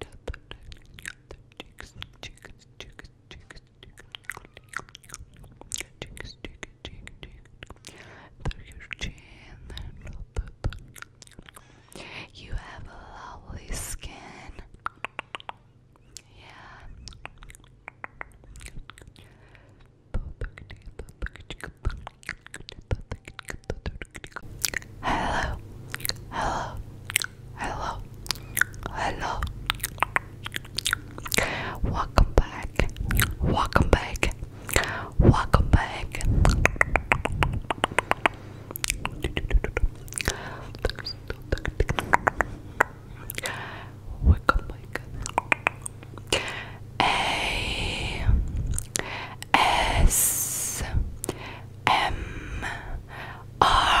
tap you have a lovely skin yeah Hello, hello, hello, hello. Welcome back, welcome back, welcome back. Welcome back. Hey, S M R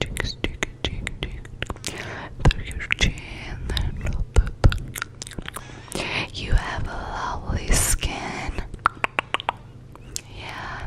cheeks, cheek, cheek, cheek. Through your chin. You have a lovely skin. Yeah.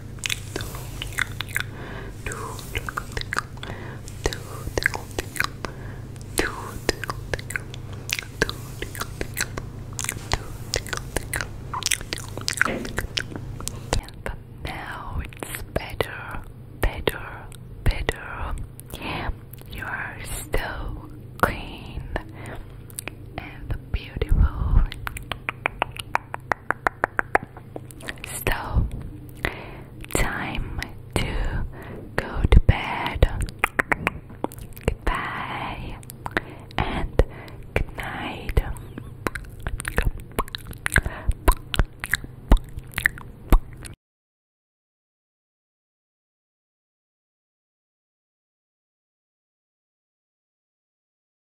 but now it's better, better, better. Yeah, you are still clean and beautiful. So, time to go to bed. Goodbye and good night.